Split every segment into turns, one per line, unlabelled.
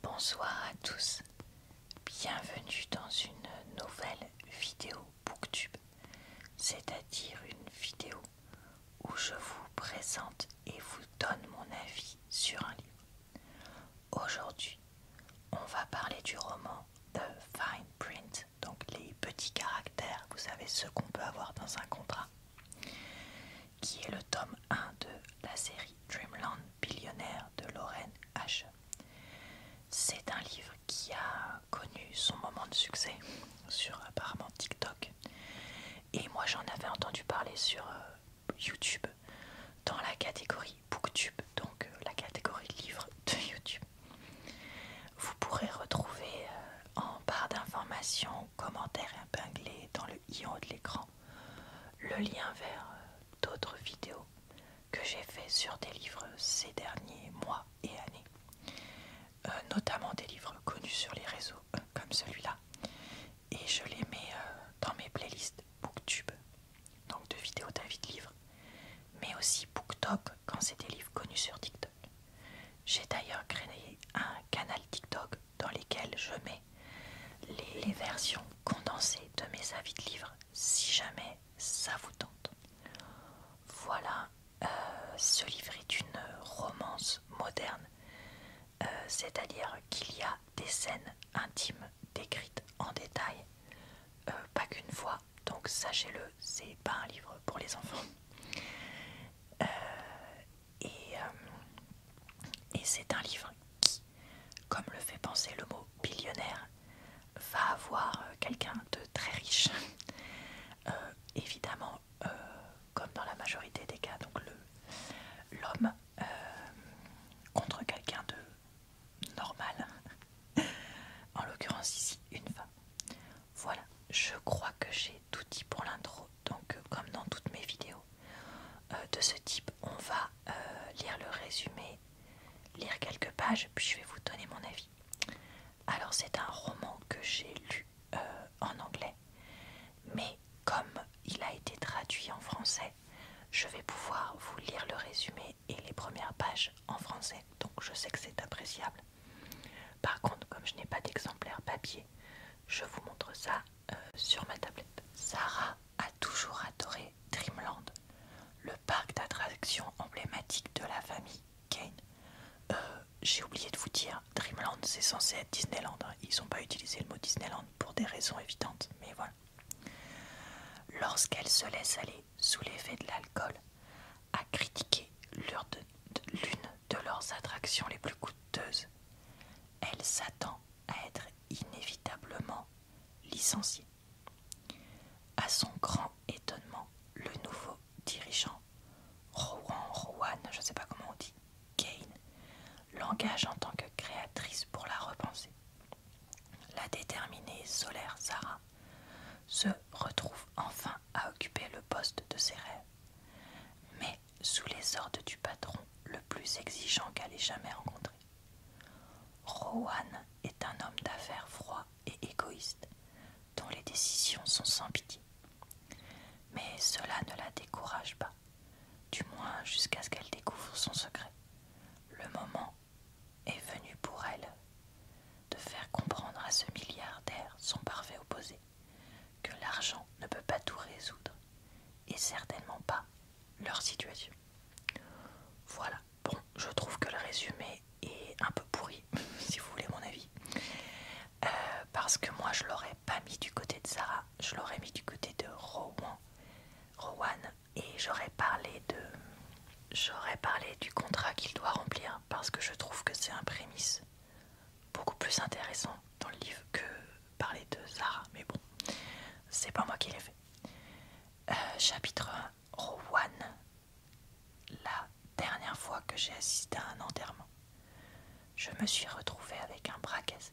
Bonsoir à tous, bienvenue dans une nouvelle vidéo Booktube, c'est-à-dire une vidéo où je vous présente et vous donne mon avis sur un livre. Aujourd'hui, on va parler du roman The Fine Print, donc les petits caractères, vous savez, ce qu'on peut avoir dans un contrat qui est le tome 1 de la série Dreamland Billionnaire de Lorraine H. C'est un livre qui a connu son moment de succès sur apparemment TikTok. Et moi j'en avais entendu parler sur euh, YouTube dans la catégorie Booktube, donc euh, la catégorie livres de YouTube. Vous pourrez retrouver euh, en barre d'informations, commentaires épinglés dans le i haut de l'écran le lien vers euh, d'autres vidéos que j'ai fait sur des livres ces derniers mois et années, euh, notamment des livres connus sur les réseaux euh, comme celui-là, et je les mets dans mes playlists Booktube, donc de vidéos d'avis de livres, mais aussi BookTok quand c'est des livres connus sur TikTok. J'ai d'ailleurs créé un canal TikTok dans lequel je mets les, versions condensées de mes avis de livres si jamais ça vous tente. Voilà, euh, ce livre est une romance moderne, euh, c'est-à-dire qu'il y a des scènes intimes décrites en détail, euh, pas qu'une fois, donc sachez-le, c'est pas un livre pour les enfants. Et, euh, et c'est un livre qui, comme le fait penser le mot billionnaire, va avoir euh, quelqu'un de très riche. Euh, évidemment, comme dans la majorité des cas, donc l'homme contre quelqu'un de normal. en l'occurrence ici, une femme. Voilà, je crois que j'ai tout dit pour l'intro donc euh, comme dans toutes mes vidéos euh, de ce type, on va euh, lire le résumé, lire quelques pages, puis je vais vous donner mon avis. Alors c'est un roman que j'ai lu en anglais, mais comme il a été traduit en français, je vais pouvoir vous lire le résumé et les premières pages en français, donc je sais que c'est appréciable. Par contre, comme je n'ai pas d'exemplaire papier, je vous montre ça euh, sur ma tablette. Sarah a toujours adoré Dreamland, le parc d'attractions emblématique de la famille Kane. Euh, j'ai oublié de vous dire, Dreamland c'est censé être Disneyland. Hein. Ils n'ont pas utilisé le mot Disneyland pour des raisons évidentes, mais voilà. Lorsqu'elle se laisse aller sous l'effet de l'alcool, à critiquer l'une de leurs attractions les plus coûteuses. Elle s'attend à être inévitablement licencié. À son grand étonnement, le nouveau dirigeant, Rowan Rowan, je ne sais pas comment on dit, Kane, l'engage en tant que créatrice pour la repenser. La déterminée solaire Sarah se retrouve enfin à occuper le poste de ses rêves sous les ordres du patron le plus exigeant qu'elle ait jamais rencontré. Rowan est un homme d'affaires froid et égoïste, dont les décisions sont sans pitié. Mais cela ne la décourage pas, du moins jusqu'à ce qu'elle découvre son secret. Le moment est venu pour elle de faire comprendre à ce milliardaire, son parfait opposé, que l'argent ne peut pas tout résoudre et certainement pas leur situation. Voilà, bon, je trouve que le résumé est un peu pourri, si vous voulez mon avis. Euh, parce que moi je l'aurais pas mis du côté de Sarah, je l'aurais mis du côté de Rowan, Rowan et j'aurais parlé de j'aurais parlé du contrat qu'il doit remplir parce que je trouve que c'est un prémisse beaucoup plus intéressant dans le livre que parler de Zara, mais bon, c'est pas moi qui l'ai fait. Euh, chapitre 1, Rowan, la dernière fois que j'ai assisté à un enterrement, je me suis retrouvé avec un bras cassé.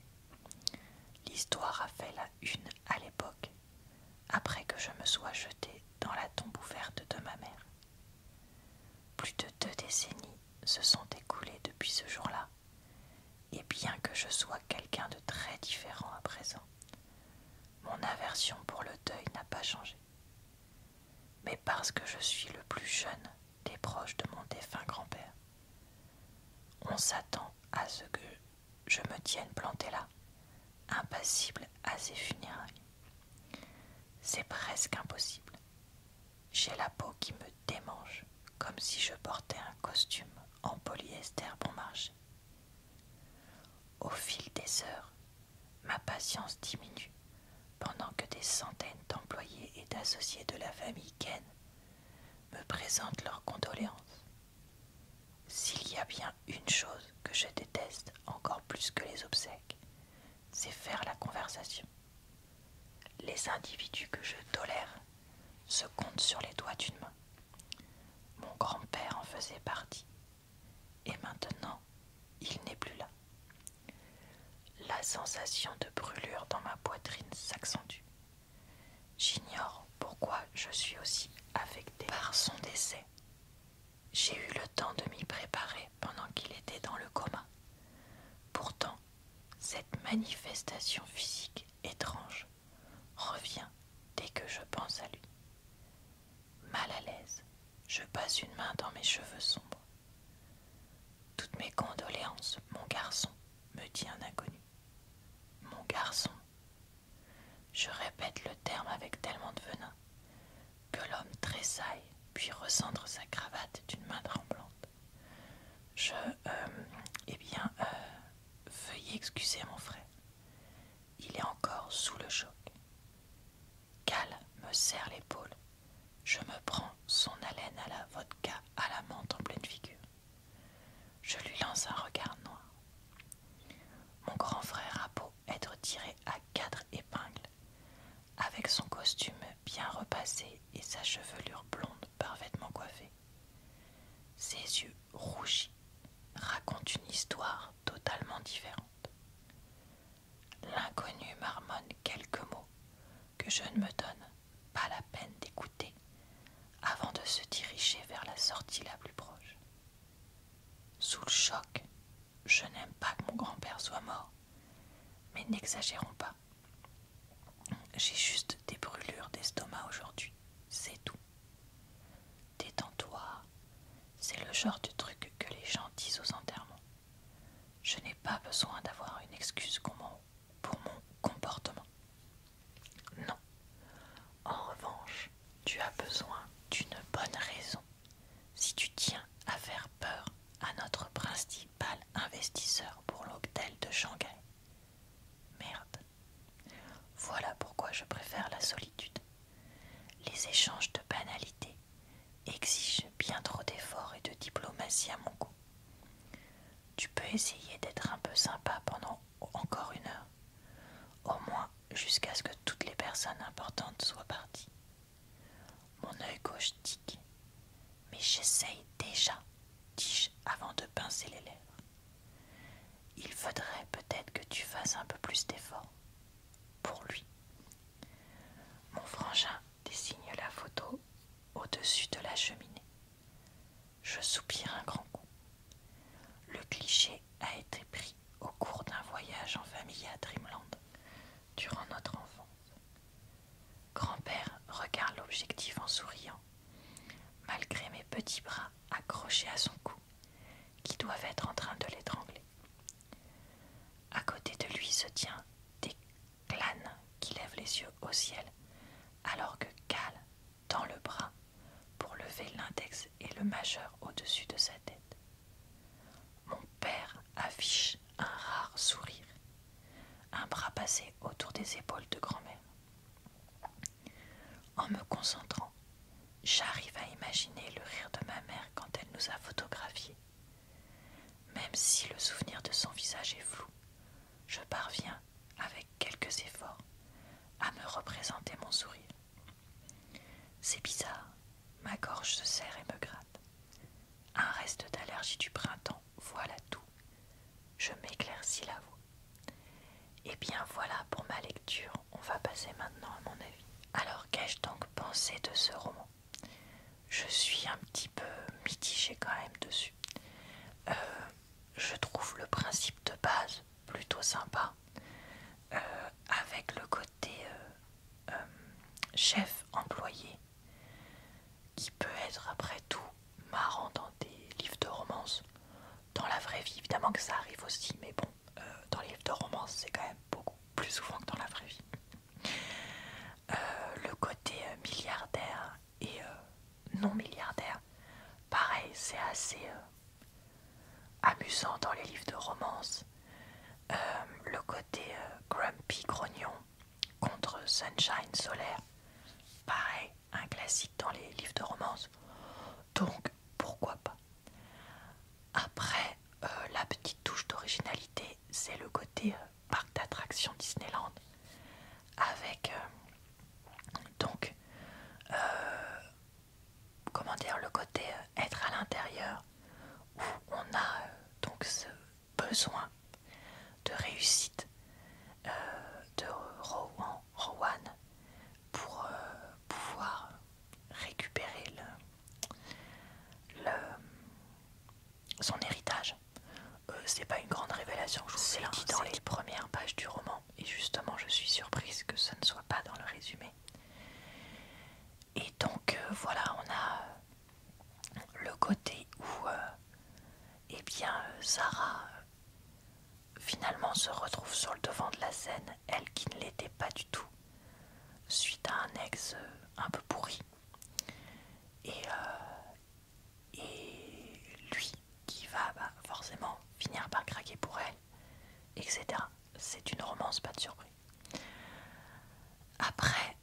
L'histoire a fait la une à l'époque, après que je me sois jeté dans la tombe ouverte de ma mère. Plus de deux décennies se sont écoulées depuis ce jour-là, et bien que je sois quelqu'un de très différent à présent, mon aversion pour le deuil n'a pas changé. Mais parce que je suis le plus jeune des proches de mon défunt grand-père, on s'attend à ce que je me tienne planté là, impassible à ses funérailles. C'est presque impossible. J'ai la peau qui me démange, comme si je portais un costume en polyester bon marché. Au fil des heures, ma patience diminue pendant que des centaines d'employés et d'associés de la famille Ken me présentent leurs condoléances. S'il y a bien une chose que je déteste encore plus que les obsèques, c'est faire la conversation. Les individus que je tolère se compte sur les doigts d'une main. Mon grand-père en faisait partie. Et maintenant, il n'est plus là. La sensation de brûlure dans ma poitrine s'accentue. J'ignore pourquoi je suis aussi affectée par son décès. J'ai eu le temps de m'y préparer pendant qu'il était dans le coma. Pourtant, cette manifestation physique étrange revient dès que je pense à lui. Mal à l'aise, je passe une main dans mes cheveux sombres. Toutes mes condoléances, mon garçon, me dit un inconnu. Mon garçon. Je répète le terme avec tellement de venin que l'homme tressaille puis recentre sa cravate d'une main tremblante. Je. Euh, eh bien, euh, veuillez excuser mon frère. Il est encore sous le choc. Cal me serre l'épaule. Je me prends son haleine à la vodka à la menthe en pleine figure. Je lui lance un regard noir. Mon grand frère a beau être tiré à quatre épingles. Avec son costume bien repassé et sa chevelure blonde parfaitement coiffée. Ses yeux rougis racontent une histoire totalement différente. L'inconnu marmonne quelques mots que je ne me donne pas la peine d'écouter avant de se diriger vers la sortie la plus proche. Sous le choc, je n'aime pas que mon grand-père soit mort, mais n'exagérons pas. J'ai juste des brûlures d'estomac aujourd'hui, c'est tout. Détends-toi, c'est le genre de truc que les gens disent aux enterrements. Je n'ai pas besoin d'avoir une excuse pour mon comportement. Non. En revanche, tu as besoin d'une bonne raison si tu tiens à faire peur à notre principe Pâle investisseur pour l'hôtel de Shanghai. Merde. Voilà pourquoi je préfère la solitude. Les échanges de banalités exigent bien trop d'efforts et de diplomatie à mon goût. Tu peux essayer d'être un peu sympa pendant encore une heure, au moins jusqu'à ce que toutes les personnes importantes soient parties. Mon œil gauche tique, mais j'essaye déjà dis-je avant de pincer les lèvres. Il faudrait peut-être que tu fasses un peu plus d'efforts. Pour lui. Mon frangin désigne la photo au-dessus de la cheminée. Je soupire un grand coup. Le cliché a été pris au cours d'un voyage en famille à Dreamland durant notre enfance. Grand-père regarde l'objectif en souriant, malgré mes petits bras accrochés à son cou, qui doivent être en train de l'étrangler. À côté de lui se tient des clans qui lèvent les yeux au ciel, alors que Cal tend le bras pour lever l'index et le majeur au-dessus de sa tête. Mon père affiche un rare sourire un bras passé autour des épaules de grand-mère. En me concentrant, j'arrive à imaginer le rire de ma mère quand elle nous a photographiés. Même si le souvenir de son visage est flou, je parviens, avec quelques efforts, à me représenter mon sourire. C'est bizarre, ma gorge se serre et me gratte. Un reste d'allergie du printemps voilà tout. Je m'éclaircis la voix. Eh bien voilà pour ma lecture. On va passer maintenant à mon avis. Alors qu'ai-je donc pensé de ce roman Je suis un petit peu mitigée quand même dessus. Euh, je trouve le principe de base plutôt sympa. Euh, avec le côté euh, chef employé qui peut être après tout marrant dans des livres de romance. Dans la vraie vie, évidemment que ça arrive aussi, mais bon, euh, dans les livres de romance, c'est quand même beaucoup plus souvent que dans la vraie vie. Euh, le côté euh, milliardaire et non milliardaire, pareil, c'est assez amusant dans les livres de romance. le côté grumpy grognon, contre Sunshine Solaire. Pareil, un classique dans les livres de romance. Donc, pourquoi pas Après, euh, la petite touche d'originalité, c'est le côté euh, parc d'attractions Disneyland. Avec, euh, donc, comment dire, le côté être à l'intérieur où on a donc ce, besoin de réussite euh, de Rowan, pour euh, pouvoir récupérer le, le, son héritage. Euh, c'est pas une grande révélation, je vous dans les premières pages du roman, et justement je suis surprise que ce ne soit pas dans le résumé. Et donc voilà, on a le côté où euh, eh bien Sarah euh, finalement se retrouve sur le devant de la scène, elle qui ne l'était pas du tout, suite à un ex euh, un peu pourri. Et, et lui qui va bah, forcément finir par craquer pour elle, etc. C'est une romance, pas de surprise. Après,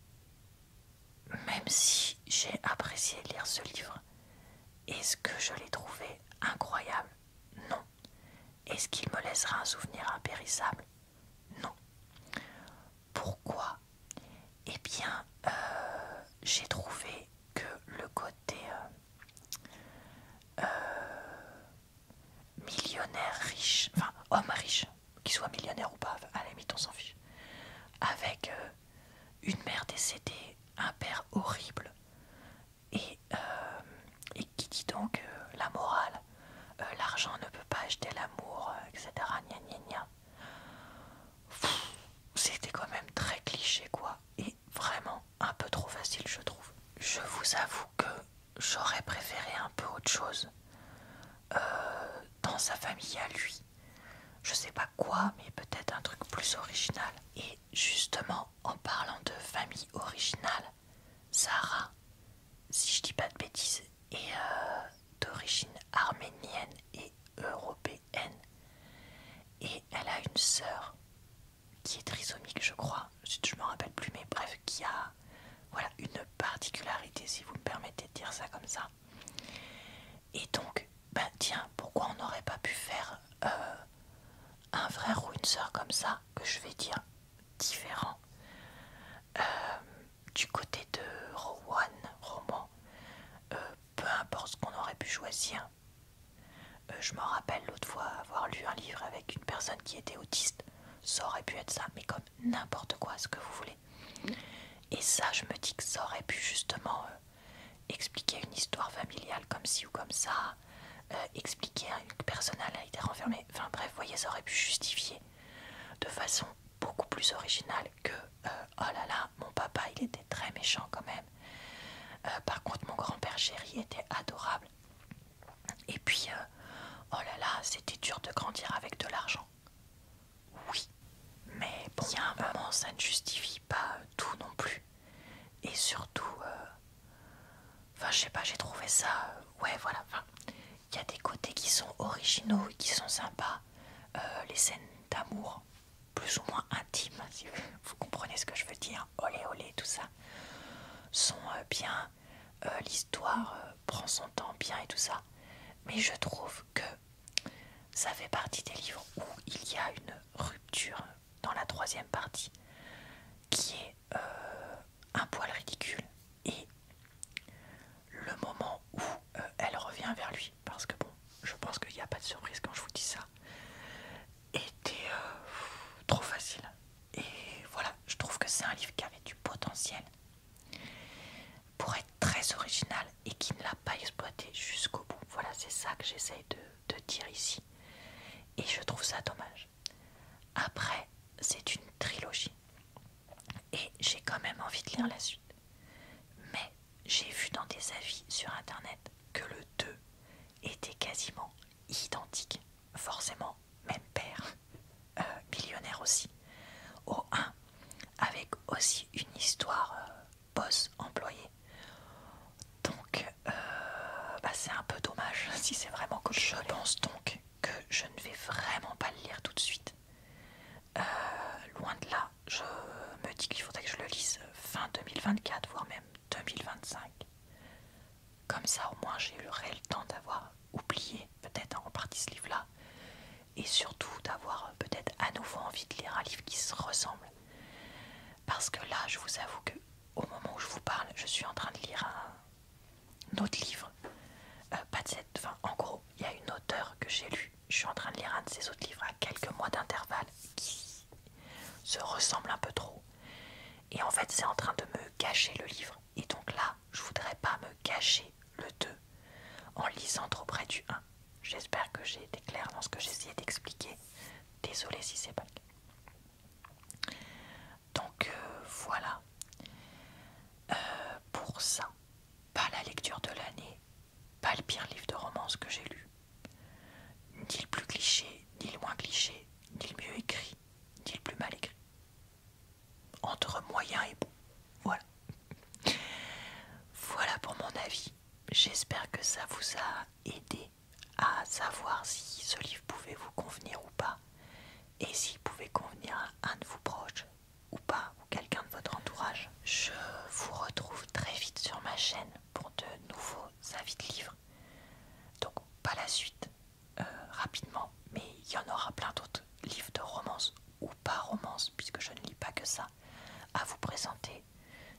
même si j'ai apprécié lire ce livre, est-ce que je l'ai trouvé incroyable Non. Est-ce qu'il me laissera un souvenir impérissable Non. Pourquoi Eh bien, euh, j'ai trouvé que le côté euh, euh, millionnaire riche, enfin homme riche, qu'il soit millionnaire ou pas, à la limite on s'en fiche, avec euh, une mère décédée, un père horrible, et, euh, qui dit donc euh, la morale, l'argent ne peut pas acheter l'amour, etc. C'était quand même très cliché quoi, et vraiment un peu trop facile je trouve. Je vous avoue que j'aurais préféré un peu autre chose. dans sa famille à lui, je sais pas quoi, mais peut-être un truc plus original. Et justement, en parlant de famille originale, Sarah, si je dis pas de bêtises, est euh, d'origine arménienne et européenne. Et elle a une sœur qui est trisomique, je crois. Je me rappelle plus, mais bref, qui a voilà une particularité, si vous me permettez de dire ça comme ça. Et donc, ben tiens, pourquoi on n'aurait pas pu faire euh, un frère ou une sœur comme ça, que je vais dire différent euh, Du côté de Rowan, Roman, euh, peu importe ce qu'on aurait pu choisir. je me rappelle l'autre fois avoir lu un livre avec une personne qui était autiste, ça aurait pu être ça, mais comme n'importe quoi, ce que vous voulez. Et ça, je me dis que ça aurait pu justement euh, expliquer une histoire familiale comme ci ou comme ça, euh, expliquer à une personne à été renfermé. Enfin bref, vous voyez, ça aurait pu justifier de façon beaucoup plus originale que euh, oh là là, mon papa il était très méchant quand même. par contre, mon grand-père chéri était adorable. Et puis, oh là là, c'était dur de grandir avec de l'argent. Oui, mais bien il y a un moment, ça ne justifie pas tout non plus. Et surtout, euh, enfin, je sais pas, j'ai trouvé ça. Euh, ouais, voilà. Il y a des côtés qui sont originaux qui sont sympas. Euh, les scènes d'amour, plus ou moins intimes, si vous comprenez ce que je veux dire, olé olé, tout ça, sont bien. L'histoire prend son temps bien et tout ça. Mais je trouve que ça fait partie des livres où il y a une rupture dans la troisième partie qui est euh, un poil ridicule et le moment où euh, elle revient vers lui parce que bon je pense qu'il n'y a pas de surprise quand je vous dis ça était euh, trop facile et voilà je trouve que c'est un livre qui avait du potentiel pour être très original et qui ne l'a pas exploité jusqu'au bout. Voilà, c'est ça que j'essaye de, dire ici. Et je trouve ça dommage. Après, c'est une trilogie. Et j'ai quand même envie de lire la suite. Mais j'ai vu dans des avis sur Internet que le 2 était quasiment identique. Forcément, même père. Euh, millionnaire aussi. Au 1, avec aussi une histoire euh, boss employé. Donc, euh, bah, c'est un peu dommage si c'est vraiment que Je pense donc que je ne vais vraiment pas le lire tout de suite. loin de là, je me dis qu'il faudrait que je le lise fin 2024, voire même 2025. Comme ça, au moins, j'ai eu le réel temps d'avoir oublié peut-être en partie ce livre-là et surtout d'avoir euh, peut-être à nouveau envie de lire un livre qui se ressemble. Parce que là, je vous avoue que au moment où je vous parle, je suis en train de lire un, autre livre. Euh, pas de cette, en gros, il y a une auteure que j'ai lu Je suis en train de lire un de ces autres livres à quelques mois d'intervalle qui se ressemble un peu trop. Et en fait, c'est en train de me cacher le livre. Et donc là, je voudrais pas me cacher le 2 en lisant trop près du 1. J'espère que j'ai été claire dans ce que j'essayais d'expliquer. Désolée si c'est pas le cas. Donc euh, voilà. Euh, pour ça, pas la lecture de l'année, pas le pire livre de romance que j'ai lu. Ni le plus cliché, ni le moins cliché, ni le mieux écrit, ni le plus mal écrit entre moyen et bon. Voilà. Voilà pour mon avis. J'espère que ça vous a aidé à savoir si ce livre pouvait vous convenir ou pas, et s'il pouvait convenir à un de vos proches ou pas, ou quelqu'un de votre entourage. Je vous retrouve très vite sur ma chaîne pour de nouveaux avis de livres. Donc pas la suite euh, rapidement, mais il y en aura plein d'autres livres de romance ou pas romance, puisque je ne lis pas que ça, à vous présenter.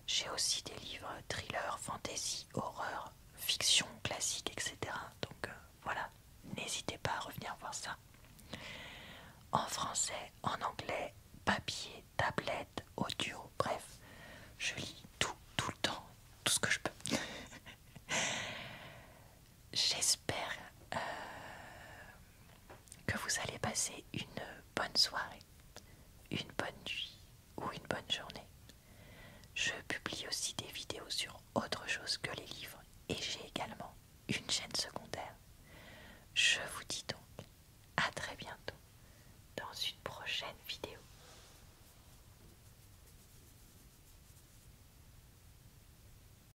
J'ai aussi des livres thriller, fantasy, horreur, fiction, classique, etc. Donc euh, voilà, n'hésitez pas à revenir voir ça. En français, en anglais, papier, tablette, audio, bref, je lis tout, tout le temps, tout ce que je peux. J'espère euh, que vous allez passer une bonne soirée, une bonne nuit ou une bonne journée. Je publie aussi des vidéos sur autre chose que les livres et j'ai également une chaîne secondaire. Je vous dis donc à très bientôt dans une prochaine vidéo.